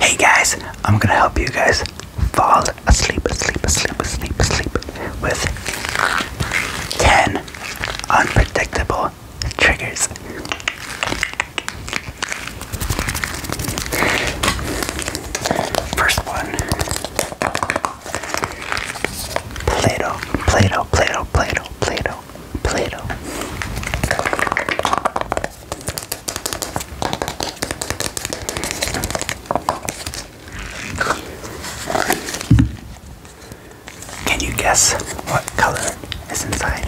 Hey guys, I'm gonna help you guys fall asleep, asleep, asleep, asleep, asleep with 10 unpredictable triggers. First one Play Doh, Play Doh, Play Doh, Play Doh, Play Doh. Play-Doh. Can you guess what color is inside?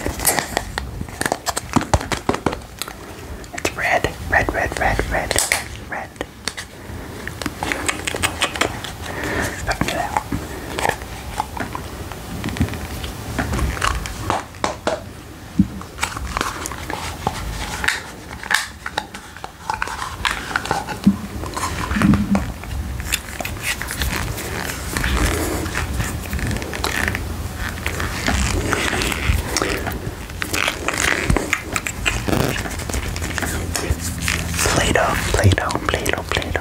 It's red, red, red, red, red, red. Play-Doh, Play-Doh, Play-Doh, Play-Doh.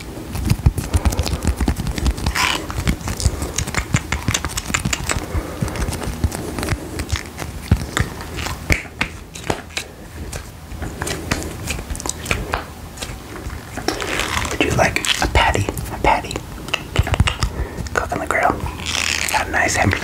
Would you like a patty? patty? Cook the grill. Got a nice hamburger.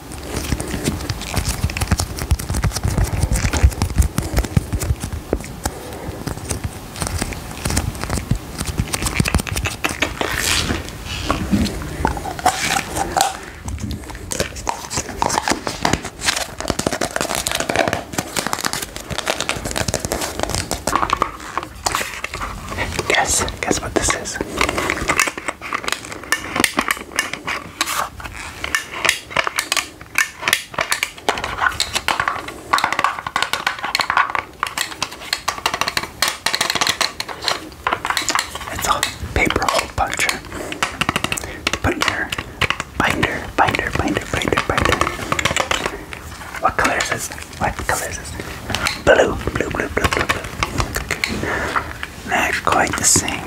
Guess, guess what this is? It's a paper hole puncher. Put in your binder, binder, binder, binder, binder. What color is this? What color is this? Blue, blue, blue, blue, blue, blue not quite the same.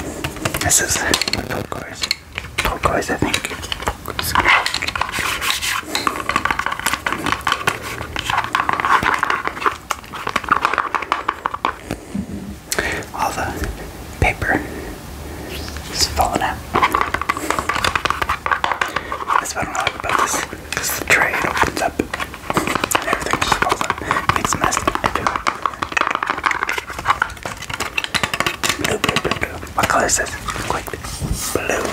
This is turquoise. Turquoise, I think. All the paper is falling out. That's what I don't like about this, because the tray opens up and everything just falls out. Makes a mess everywhere. Blue, blue, blue, What color is this? Blue.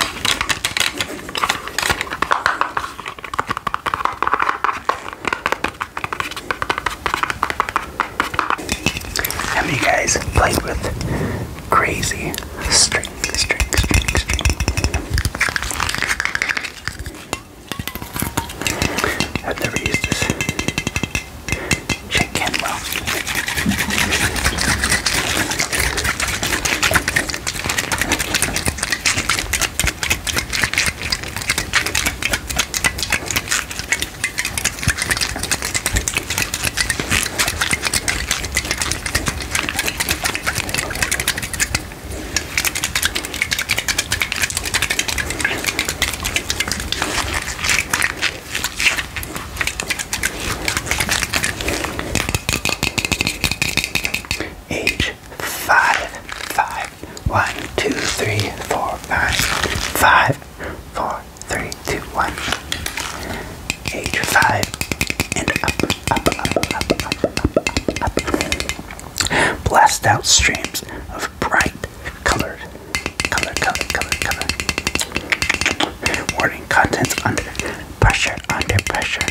How many guys played with crazy string, string, string, string? I've never used this chicken well. H five five one two three four five five four three two one H five and up up up up up up up up blast out streams of bright colored, color, color, color, color. Warning contents under pressure, under pressure.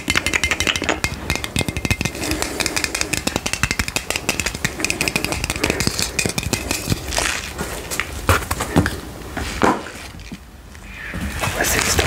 What's this door?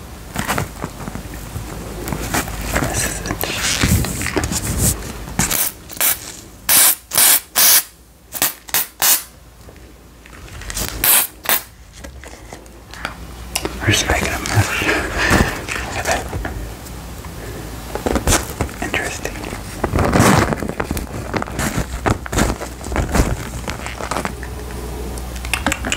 This is it. We're just making a mess. Look at that. Interesting.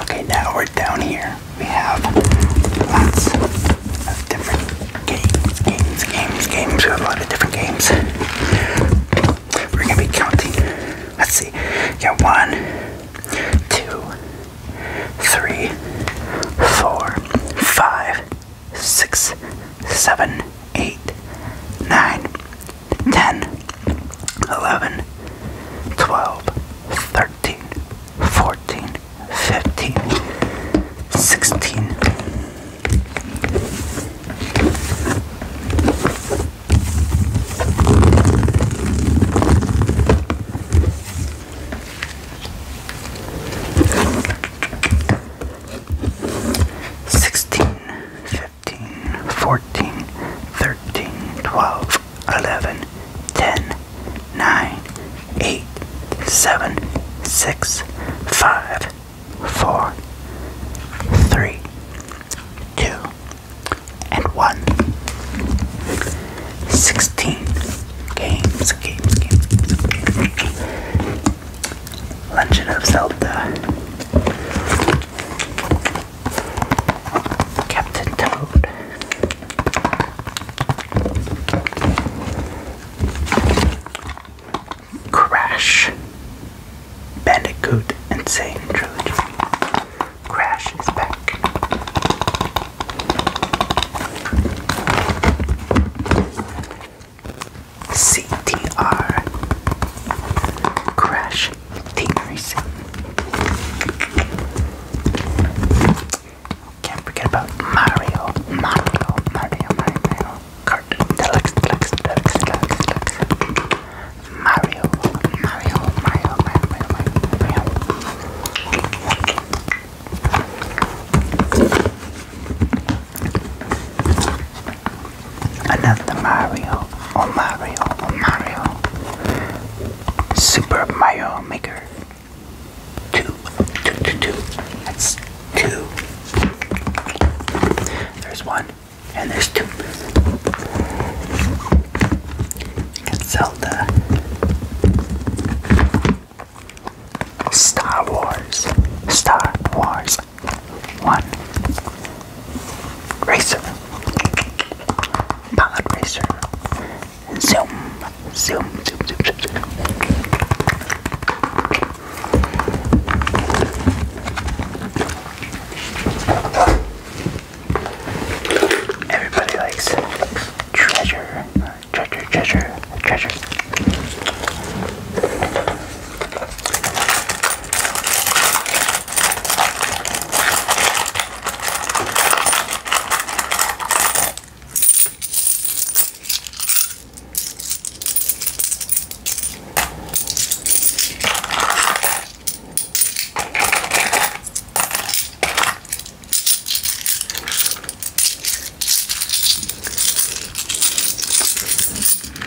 Okay, now we're down here we have lots of different games, games, games, games. We have a lot of different games. We're gonna be counting. Let's see. Yeah, one, two, three, four, five, six, seven, eight, nine, ten, eleven, twelve, thirteen, fourteen, 15, 16. Sixteen, fifteen, fourteen, thirteen, twelve, eleven, ten, nine, eight, seven, six, five, four, three, two, and one. Sixteen games, games, games, Legend of Zelda. Captain Toad. Crash, Bandicoot, Insane Trilogy. Crash is back. CTR, Crash Team can't forget about Mario, Mario, Mario, Mario, Mario Deluxe, Deluxe, Deluxe, Deluxe, Deluxe Mario, Mario, Mario, Mario, Mario, Mario, Another Mario, oh Mario, oh Mario Super Mario Maker Two, two, two, two. That's two. There's one, and there's two. You Star Wars. Star Wars. One. Racer. Pod racer zoom, zoom, zoom, zoom, zoom, zoom. Everybody likes treasure, treasure, treasure, treasure.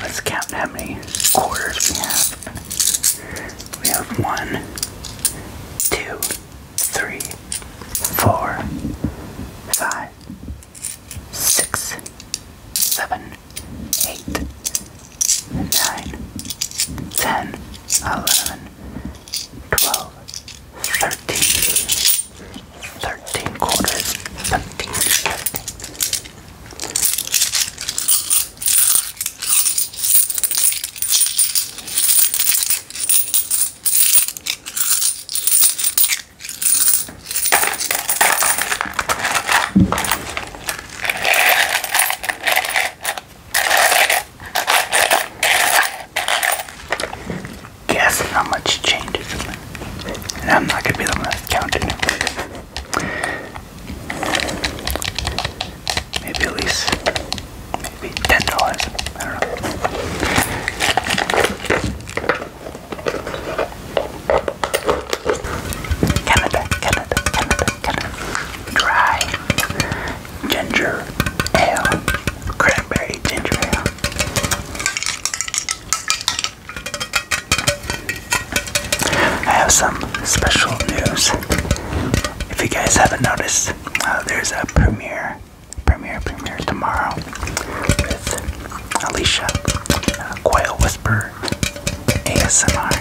Let's count how many quarters we have. We have one, two, three, four, five, six, seven, eight, nine, ten, eleven, twelve, thirteen, thirteen quarters, seventeen, thirteen. Guess how much change is in And I'm not going to be the one that's counting Maybe at least ten dollars. I Canada, Canada, Canada, Canada. Dry ginger ale, cranberry ginger ale. I have some special news. If you guys haven't noticed, uh, there's a premiere premiere, premiere tomorrow with Alicia, uh, Whisper ASMR.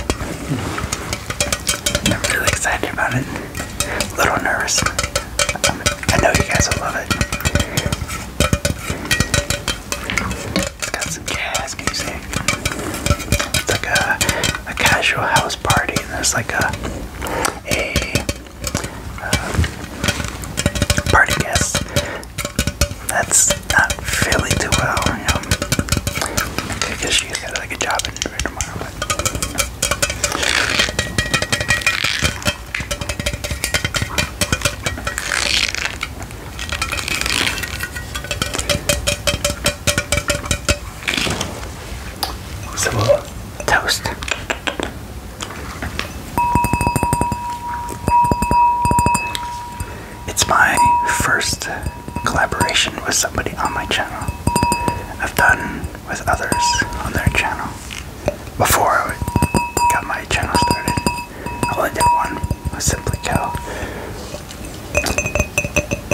Hmm. I'm really excited about it. A little nervous. Um, I know you guys will love it. It's got some jazz music. It's like a, a casual house party, and there's like a a uh, party guests. That's not feeling too well, you know. she's got like a job interview tomorrow. But... So toast. It's my first collaboration with somebody on my channel. I've done with others on their channel. Before I got my channel started, I only did one with Simply Cal.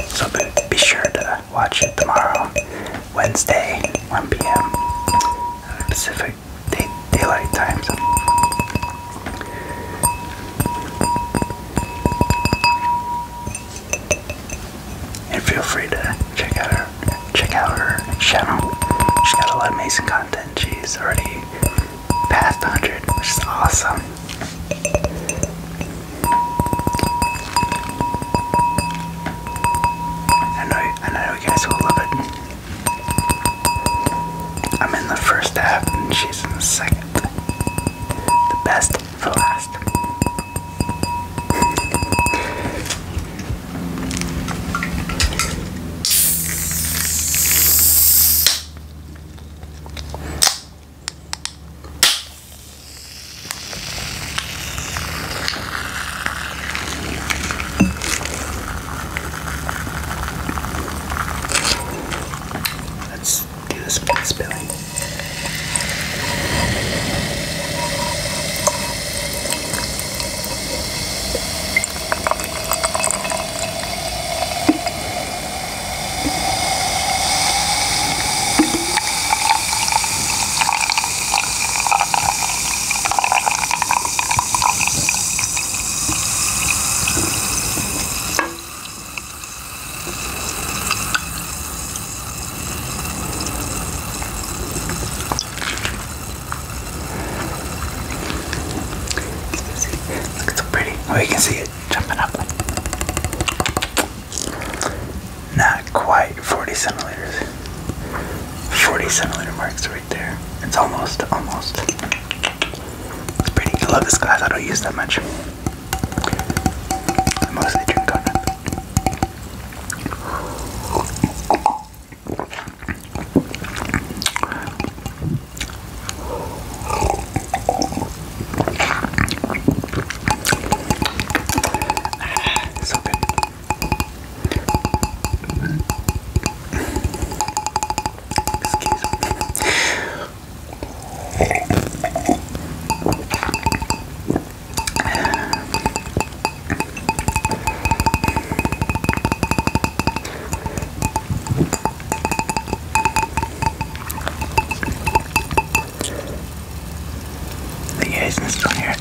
So be sure to watch it tomorrow Wednesday, 1 p.m. Pacific Daylight Time. And feel free to check out her check out her channel. She's got a lot of amazing content. She's already past 100, which is awesome. I know, I know you guys will love it. I'm in the first half and she's in the second. The best for last. Let's do this without spilling. Look, it's so pretty. Oh, you can see it jumping up. Not quite 40 centimeters. 40 centimeter marks right there. It's almost, almost. It's pretty. I love this glass. I don't use that much. I mostly drink coconut. Ah, so good. Excuse me. You guys can still hear it.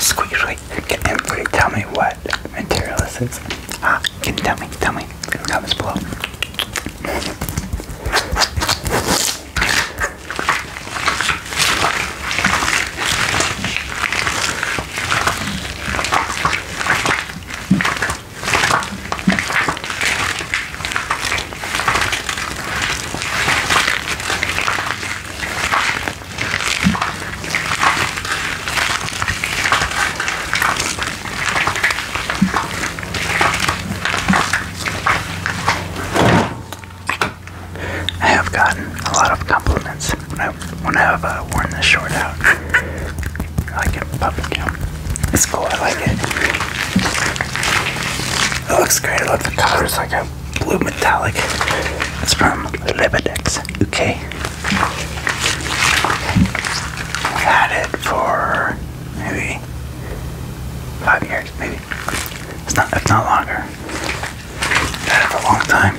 Squeeze right. Can everybody tell me what material this is? Ah, can you tell me? Tell me in the comments below. I have gotten a lot of compliments when I when I have uh, worn this shirt out. I like it, It's cool. I like it. It looks great. I love the colors. Like I blue metallic. It's from Lebedex, UK. had it for maybe five years, maybe. It's not if not longer. had it a long time.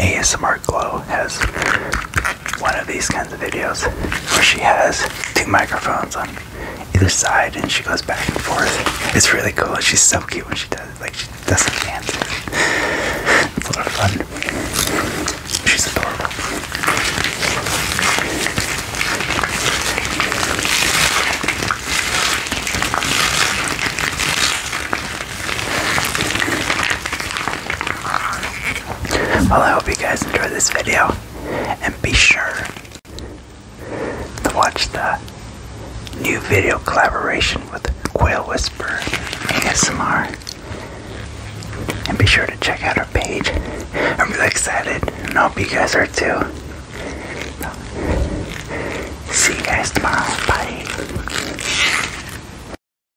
ASMR Glow has one of these kinds of videos where she has two microphones on either side and she goes back and forth. It's really cool. She's so cute when she does it. Like she doesn't dance. It's a lot of fun. She's adorable. Well, I hope you guys enjoyed this video, and be sure to watch the new video collaboration with Quail Whisper ASMR. And be sure to check out our page. I'm really excited, and I hope you guys are too. See you guys tomorrow. Bye.